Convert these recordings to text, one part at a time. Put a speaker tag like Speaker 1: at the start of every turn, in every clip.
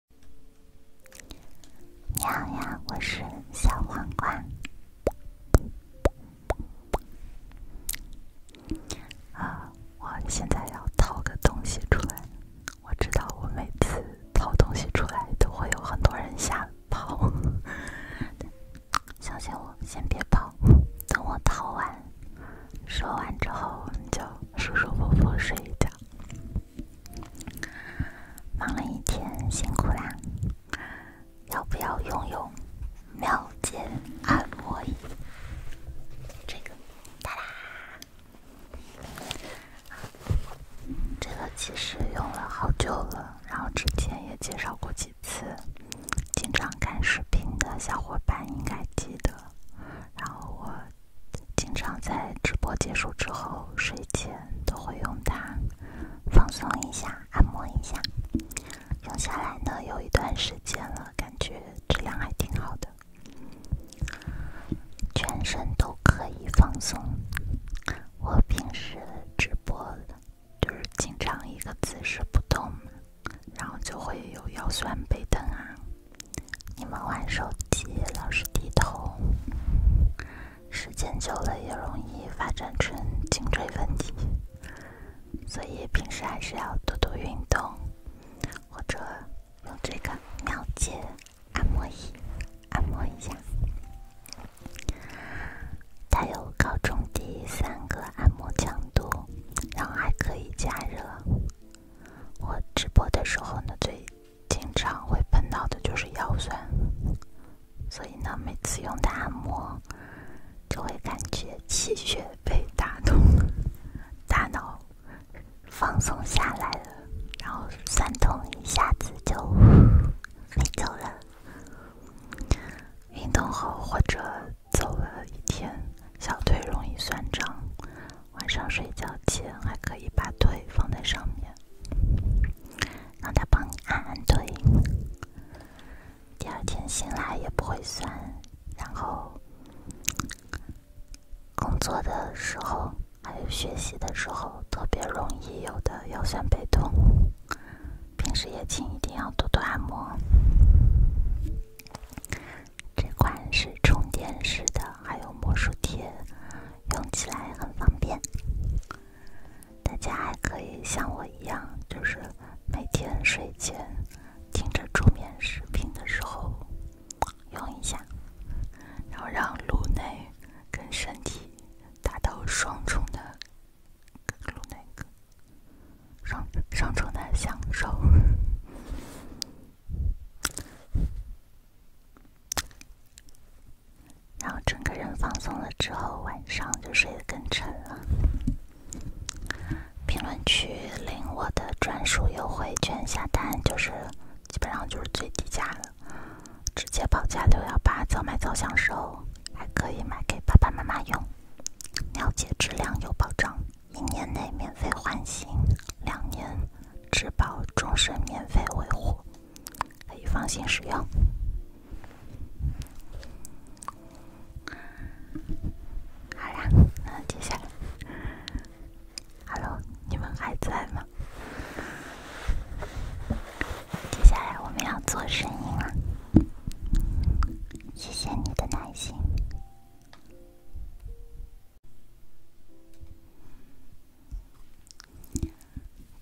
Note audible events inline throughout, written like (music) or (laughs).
Speaker 1: 你好呀，我是小黄瓜。啊，我现在要掏个东西出来。我知道我每次掏东西出来都会有很多人吓跑，相 (laughs) 信我，先别跑，等我掏完，说完之后我们就舒舒服服睡一觉。忙了一天，辛苦啦！要不要用用妙解按摩椅？这个哒啦，这个其实用了好久了，然后之前也介绍过几次，经常看视频的小伙伴应该记得。然后我。经常在直播结束之后睡前都会用它放松一下、按摩一下。用下来呢有一段时间了，感觉质量还挺好的，全身都可以放松。我平时直播就是经常一个姿势不动，然后就会有腰酸背疼啊。你们玩手机老是低头，时间久了也容易发展成颈椎问题，所以平时还是要多多运动，或者用这个妙健按摩仪按摩一下。它有高中低三个按摩强度，然后还可以加热。我直播的时候呢最。经常会碰到的就是腰酸，所以呢，每次用它按摩，就会感觉气血被打通，(laughs) 大脑放松下来了，然后酸痛一下子就 (laughs) 没走了。运动后或者走了一天，小腿容易酸胀。晚上睡觉前还可以把腿放在上面，让他帮你按按腿，第二天醒来也不会酸。然后工作的时候还有学习的时候，特别容易有的腰酸背痛，平时也请一定要多多按摩。这款是充电式的，还有魔术贴，用起来很方便。大家还可以像我一样，就是每天睡前听着助眠视频的时候用一下，然后让颅内跟身体达到双重的，颅内双双重的享受。然后整个人放松了之后，晚上就睡得更沉了。评论区领我的专属优惠券下单，就是基本上就是最低价了，直接报价六幺八，早买早享受，还可以买给爸爸妈妈用。了解，质量有保障，一年内免费换新，两年。质保终身免费维护，可以放心使用。好啦，那接下来，哈喽，你们还在吗？接下来我们要做声音了，谢谢你的耐心。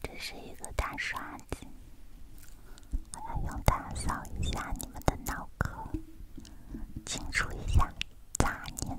Speaker 1: 这是一个大刷子，我来用它扫一下你们的脑壳，清除一下杂念。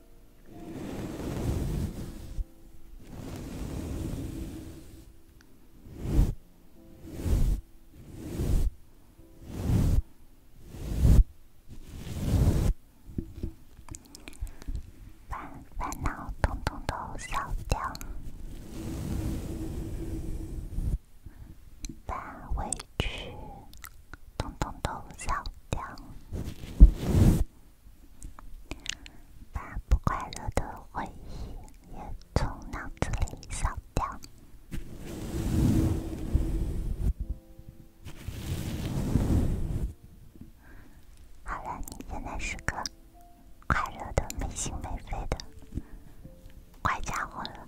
Speaker 1: 把烦恼通通都扫掉，把委屈通通都扫掉。把不快乐的回忆也从脑子里扫掉。好了，你现在是个快乐的、没心没肺的乖家伙了。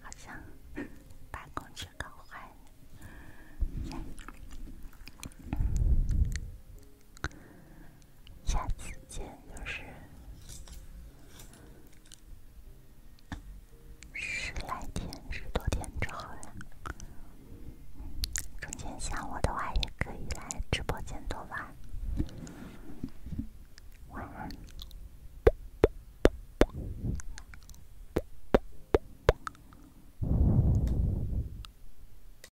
Speaker 1: 好像办公区搞坏了。下次见，就是十来天、十多天之后了。中间想我的话，也可以来直播间多玩。